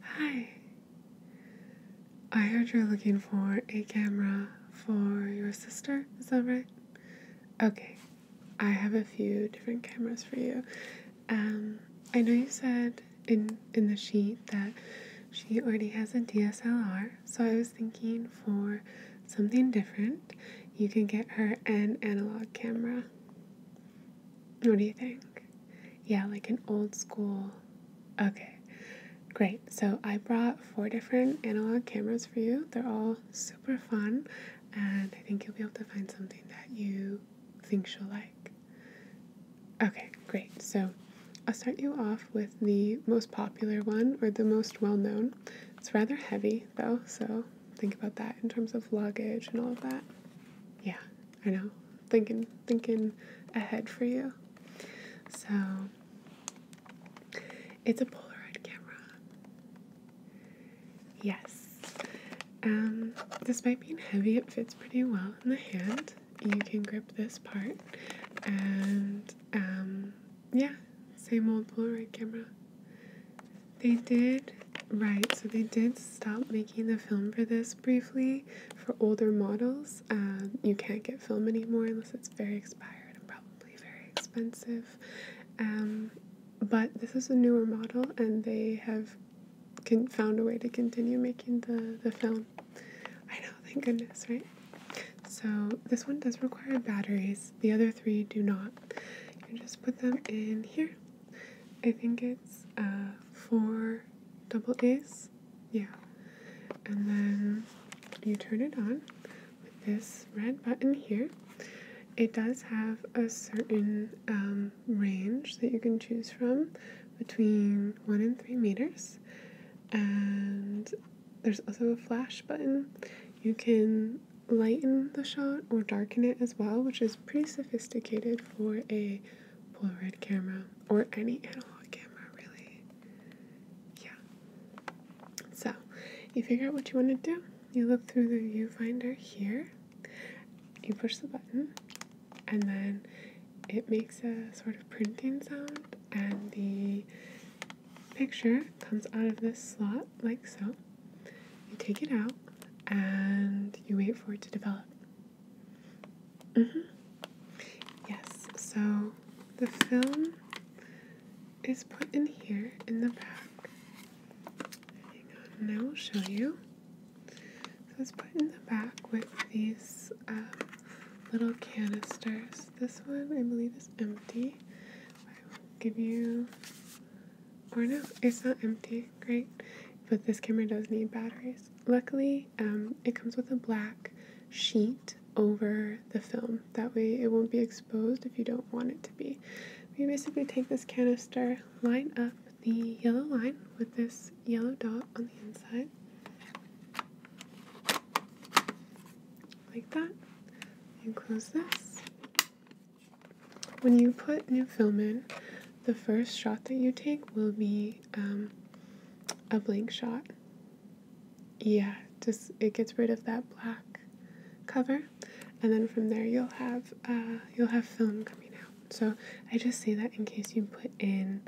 Hi. I heard you're looking for a camera for your sister. Is that right? Okay. I have a few different cameras for you. Um, I know you said in in the sheet that she already has a DSLR, so I was thinking for something different, you can get her an analog camera. What do you think? Yeah, like an old school. Okay, great. So I brought four different analog cameras for you. They're all super fun, and I think you'll be able to find something that you think you'll like. Okay, great. So I'll start you off with the most popular one or the most well known. It's rather heavy though, so think about that in terms of luggage and all of that. Yeah, I know, thinking thinking ahead for you. So it's a Polaroid camera. Yes. Um, despite being heavy, it fits pretty well in the hand. You can grip this part, and um, yeah, same old Polaroid camera. They did, right, so they did stop making the film for this briefly for older models. you can't get film anymore unless it's very expired and probably very expensive. Um, but this is a newer model, and they have can, found a way to continue making the, the film. I know, thank goodness, right? So this one does require batteries. The other three do not. You just put them in here. I think it's uh, four double A's. Yeah. And then you turn it on with this red button here. It does have a certain um, range that you can choose from between one and three meters. And there's also a flash button. You can lighten the shot or darken it as well, which is pretty sophisticated for a Polaroid camera or any analog camera, really. Yeah. So you figure out what you want to do. You look through the viewfinder here, you push the button, and then it makes a sort of printing sound, and the picture comes out of this slot like so. You take it out, and you wait for it to develop. Mm-hmm. Yes, so the film is put in here in the back. Hang on, and I will show you. So it's put in the back with these um, little canisters. This one I believe is empty. I will give you or no, it's not empty. Great. But this camera does need batteries. Luckily, um, it comes with a black sheet over the film. That way it won't be exposed if you don't want it to be. We basically take this canister, line up the yellow line with this yellow dot on the inside. Like that. And close this when you put new film in, the first shot that you take will be um, a blank shot. Yeah, just it gets rid of that black cover, and then from there you'll have uh, you'll have film coming out. So I just say that in case you put in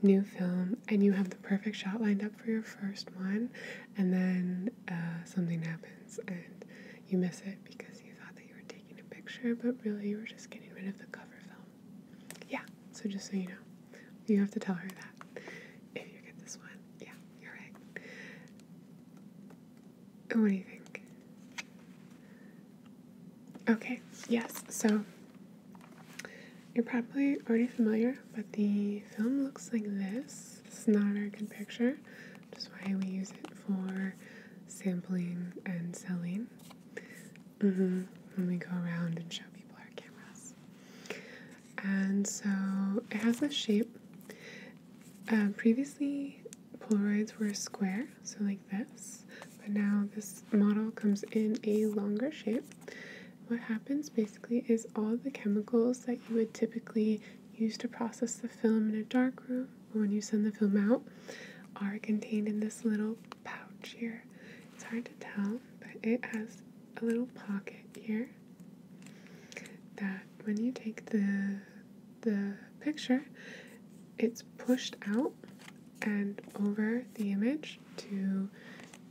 new film and you have the perfect shot lined up for your first one, and then uh, something happens and you miss it because you thought that you were taking taking a picture, but really we're just getting rid of the cover film. Yeah, so just so you know, you have to tell her that if you get this one. Yeah, you're right. What do you think? Okay, yes, so you're probably already familiar, but the film looks like this. This is, it's not our good picture, which is why we use it for sampling and selling mm-hmm. when we go around and show people our cameras. And so it has this shape. Uh, previously, Polaroids were square, so like this, but now this model comes in a longer shape. What happens basically is all the chemicals that you would typically use to process the film in a dark room when you send the film out are contained in this little pouch here. It's hard to tell, but it has a little pocket here that when you take the the picture, it's pushed out and over the image to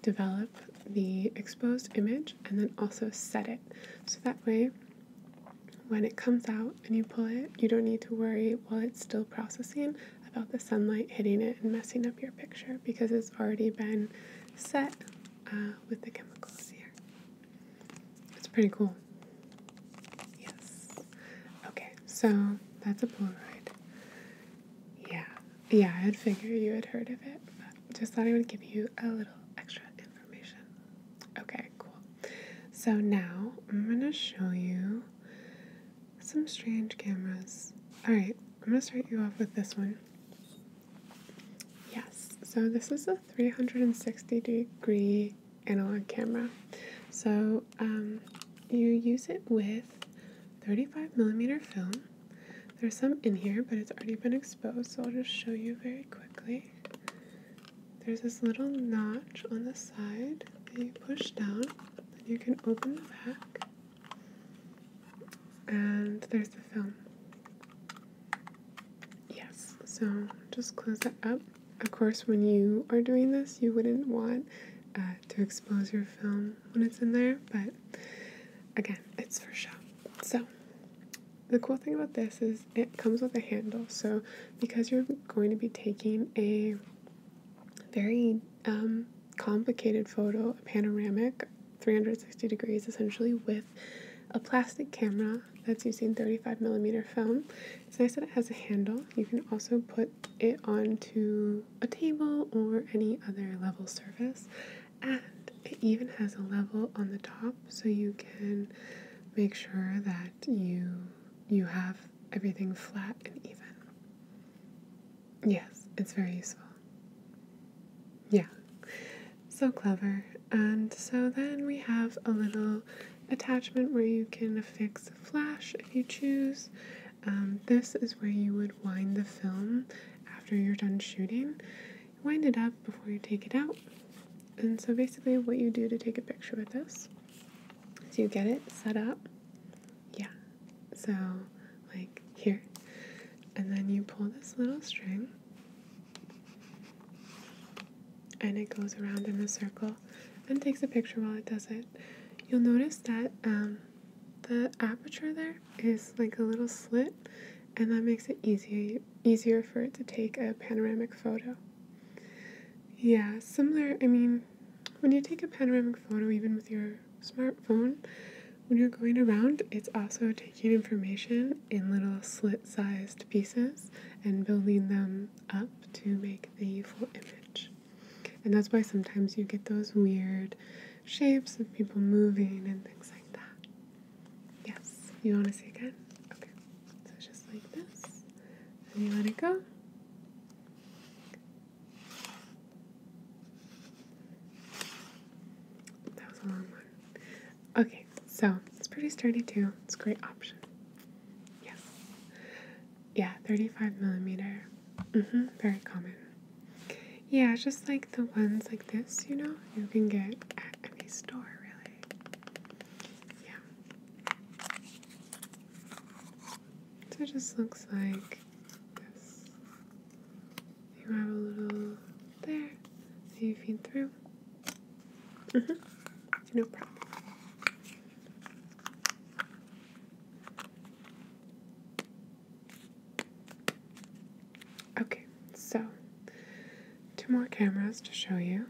develop the exposed image and then also set it. So that way when it comes out and you pull it, you don't need to worry while it's still processing about the sunlight hitting it and messing up your picture because it's already been set uh, with the chemicals here. It's pretty cool. Yes. Okay, so that's a Polaroid. Yeah, yeah, I'd figure you had heard of it, but just thought I would give you a little extra Okay, cool. So now I'm going to show you some strange cameras. All right, I'm going to start you off with this one. Yes, so this is a 360 degree analog camera. So um, you use it with 35 millimeter film. There's some in here, but it's already been exposed, so I'll just show you very quickly there's this little notch on the side that you push down, and you can open the back, and there's the film. Yes, so just close that up. Of course, when you are doing this, you wouldn't want uh, to expose your film when it's in there, but again, it's for show. So the cool thing about this is it comes with a handle. So because you're going to be taking a very um, complicated photo, a panoramic, 360 degrees essentially, with a plastic camera that's using 35 millimeter film. It's nice that it has a handle. You can also put it onto a table or any other level surface. And it even has a level on the top so you can make sure that you you have everything flat and even. Yes, it's very useful. Yeah. So clever. And so then we have a little attachment where you can fix affix flash if you choose. Um, this is where you would wind the film after you're done shooting wind it up before you take it out. And so basically what you do to take a picture with this is you get it set up. Yeah. So like here. And then you pull this little string and it goes around in a circle and takes a picture while it does it. You'll notice that um, the aperture there is like a little slit and that makes it easier easier for it to take a panoramic photo. Yeah, similar, I mean, when you take a panoramic photo even with your smartphone, when you're going around, it's also taking information in little slit-sized pieces and building them up to make the full image. And that's why sometimes you get those weird shapes of people moving and things like that. Yes. You want to see again? Okay. So just like this. And you let it go. That was a long one. Okay, so it's pretty sturdy too. It's a great option. Yes. Yeah, 35 millimeter. Mm-hmm, very common. Okay. Yeah, just like the ones like this, you know, you can get at any store, really. Yeah. So it just looks like this. You have a little there that you feed through. Mm -hmm. No problem. Okay, so two more cameras to show you,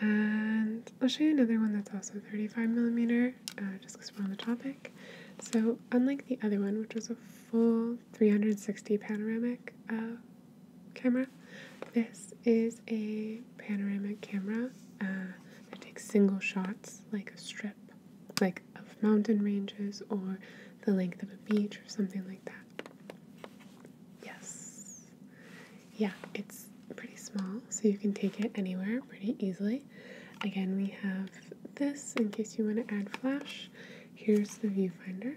and I'll show you another one that's also 35 millimeter, uh, just because we're on the topic. So, unlike the other one, which was a full 360 panoramic uh, camera, this is a panoramic camera uh, that takes single shots, like a strip, like of mountain ranges or the length of a beach or something like that. Yes. Yeah, it's pretty small, so you can take it anywhere pretty easily. Again, we have this in case you want to add flash. Here's the viewfinder.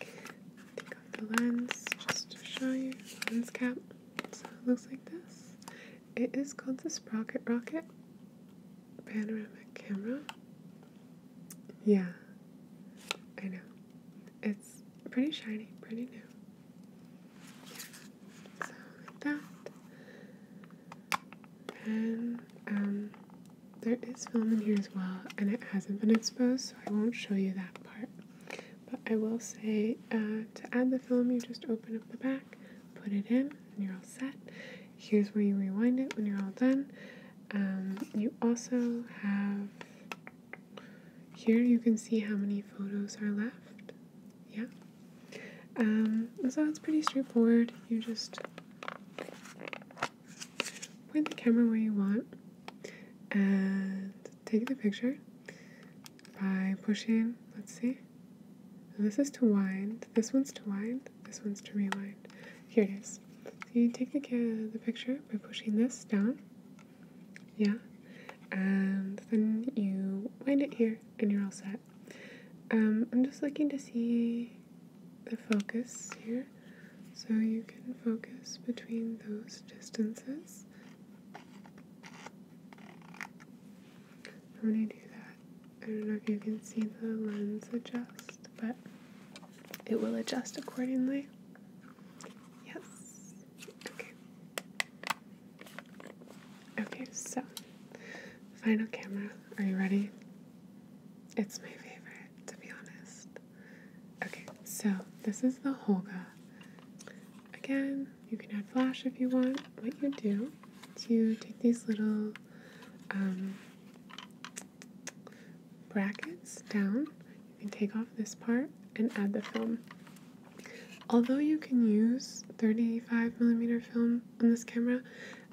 Take off the lens just to show you. Lens cap. So it looks like this. It is called the Sprocket Rocket panoramic camera. Yeah, I know. It's pretty shiny, pretty new. So, that. And, um, there is film in here as well, and it hasn't been exposed, so I won't show you that part. But I will say uh, to add the film, you just open up the back, put it in, and you're all set. Here's where you rewind it when you're all done. Um, you also have here you can see how many photos are left. Yeah. Um, so it's pretty straightforward. You just point the camera where you want and take the picture by pushing, let's see. This is to wind. This one's to wind. This one's to rewind. Here it is. you take the, the picture by pushing this down. Yeah. And then you wind it here and you're all set. Um, I'm just looking to see the focus here. So you can focus between those distances. I'm going do that I don't know if you can see the lens adjust, but it will adjust accordingly. Yes. Okay. Okay, so final camera. Are you ready? It's my favorite, to be honest. Okay, so this is the Holga. Again, you can add flash if you want. What you do is you take these little um, brackets down. You can take off this part and add the film. Although you can use 35 millimeter film on this camera,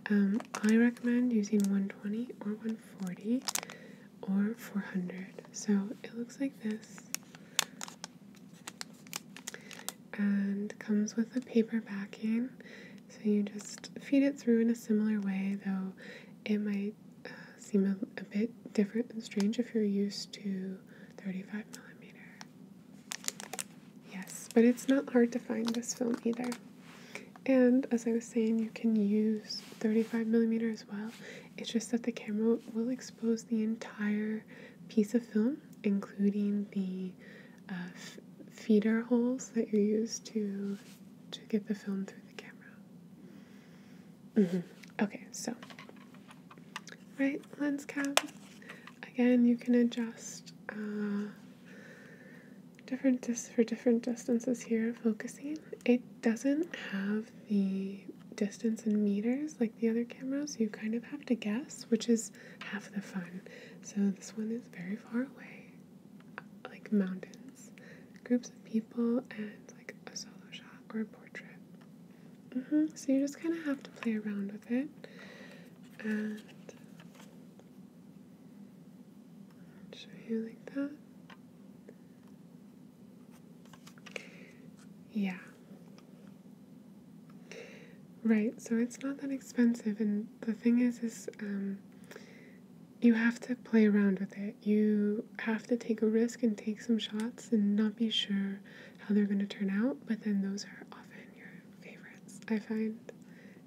um, I recommend using 120 or 140 or 400. So it looks like this and comes with a paper backing so you just feed it through in a similar way, though it might uh, seem a, a bit different and strange if you're used to 35 millimeter. Yes, but it's not hard to find this film either. And as I was saying, you can use 35 millimeter as well. It's just that the camera will expose the entire piece of film, including the uh, feeder holes that you use to to get the film through the camera. Mm-hmm. Okay, so right lens cap. Again, you can adjust uh, different dis- for different distances here. Focusing. It doesn't have the distance in meters like the other cameras. You kind of have to guess, which is half the fun. So this one is very far away like mountains, groups of people, and like a solo shot or a portrait. Mm-hmm. So you just kind of have to play around with it, and show you like that. Yeah. Right, so it's not that expensive, and the thing is, is um, you have to play around with it. You have to take a risk and take some shots and not be sure how they're going to turn out, but then those are often your favorites, I find,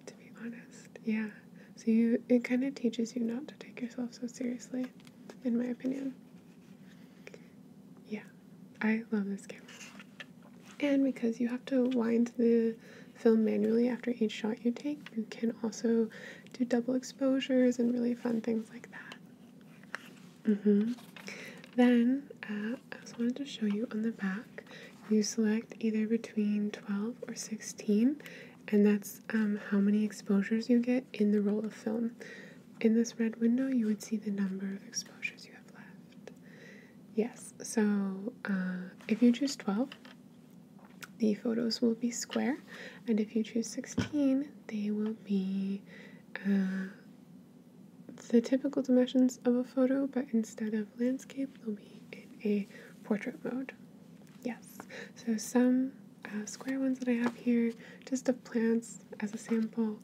to be honest. Yeah. So you it kind of teaches you not to take yourself so seriously, in my opinion. Yeah. I love this camera. And because you have to wind the film manually after each shot you take, you can also do double exposures and really fun things like that. Mm-hmm. Then uh, I just wanted to show you on the back, you select either between 12 or 16, and that's um, how many exposures you get in the roll of film. In this red window, you would see the number of exposures you have left. Yes, so uh, if you choose 12, the photos will be square, and if you choose 16, they will be uh, the typical dimensions of a photo, but instead of landscape, they'll be in a portrait mode. Yes, so some uh, square ones that I have here, just of plants as a sample.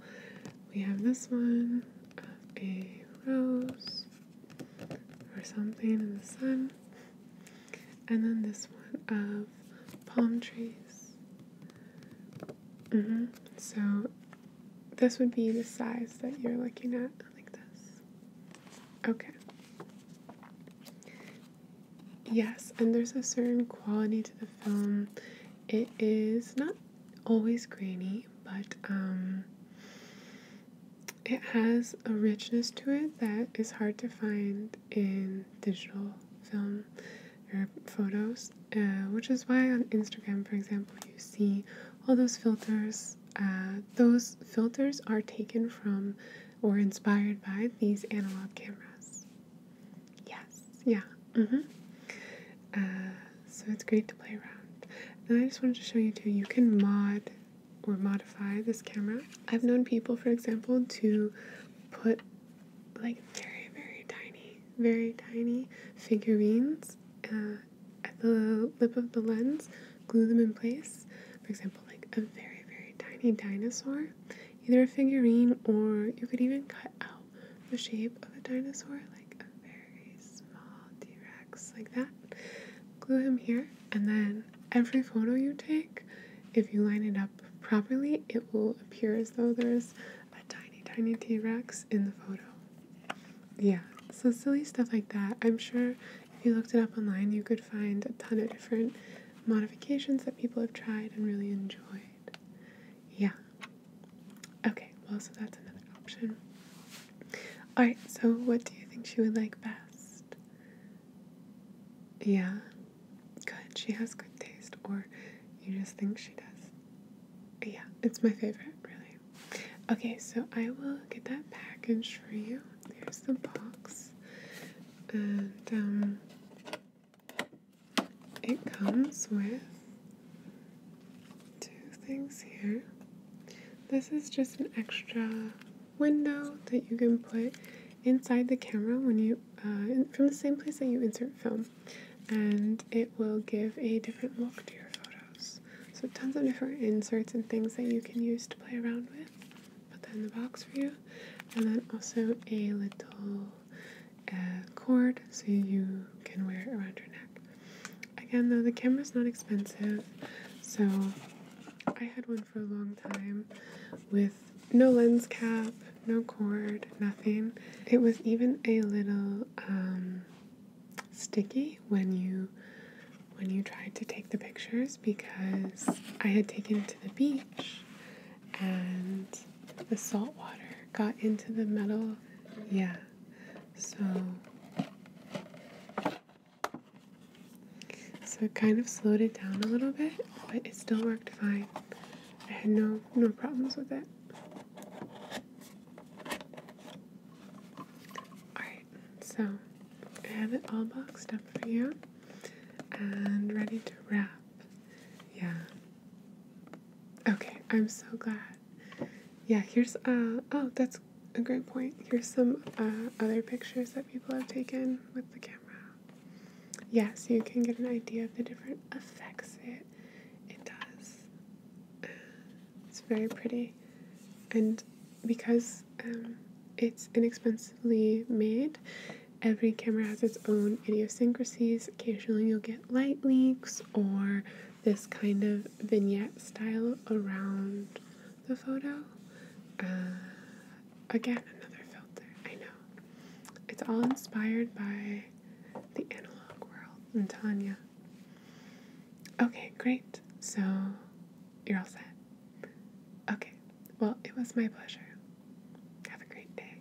We have this one of a rose, or something in the sun. And then this one of palm trees. Mm-hmm. So this would be the size that you're looking at, like this. Okay. Yes, and there's a certain quality to the film. It is not always grainy, but um, it has a richness to it that is hard to find in digital film or photos, uh, which is why on Instagram, for example, you see all those filters. Uh, those filters are taken from or inspired by these analog cameras. Yes, yeah. Mm-hmm. Uh, so it's great to play around. And I just wanted to show you too, you can mod or modify this camera. I've known people, for example, to put like very, very tiny, very tiny figurines uh, at the lip of the lens, glue them in place. For example, like a very, very tiny dinosaur, either a figurine or you could even cut out the shape of a dinosaur, like a very small T Rex, like that. Glue him here, and then every photo you take, if you line it up properly, it will appear as though there's a tiny, tiny T Rex in the photo. Yeah, so silly stuff like that. I'm sure if you looked it up online, you could find a ton of different modifications that people have tried and really enjoyed. Yeah. Okay, well, so that's another option. Alright, so what do you think she would like best? Yeah. Good, she has good taste, or you just think she does. Yeah, it's my favorite, really. Okay, so I will get that package for you. Here's the box. And, um, it comes with two things here. This is just an extra window that you can put inside the camera when you uh, from the same place that you insert film, and it will give a different look to your photos. So tons of different inserts and things that you can use to play around with. Put that in the box for you, and then also a little uh, cord so you can wear it around your neck. Again, though, the camera is not expensive, so I had one for a long time with no lens cap, no cord, nothing. It was even a little um, sticky when you when you tried to take the pictures because I had taken it to the beach and the salt water got into the metal. Yeah, so, so it kind of slowed it down a little bit, but it still worked fine. I had no no problems with it. Alright, so I have it all boxed up for you and ready to wrap. Yeah. Okay, I'm so glad yeah, here's, uh, oh, that's a great point. Here's some uh, other pictures that people have taken with the camera. Yeah, so you can get an idea of the different effects it, it does. Uh, it's very pretty. And because um, it's inexpensively made, every camera has its own idiosyncrasies. Occasionally you'll get light leaks or this kind of vignette style around the photo. Uh, again, another filter. I know. It's all inspired by the analog world and Tanya. Okay, great. So you're all set. Okay, well, it was my pleasure. Have a great day.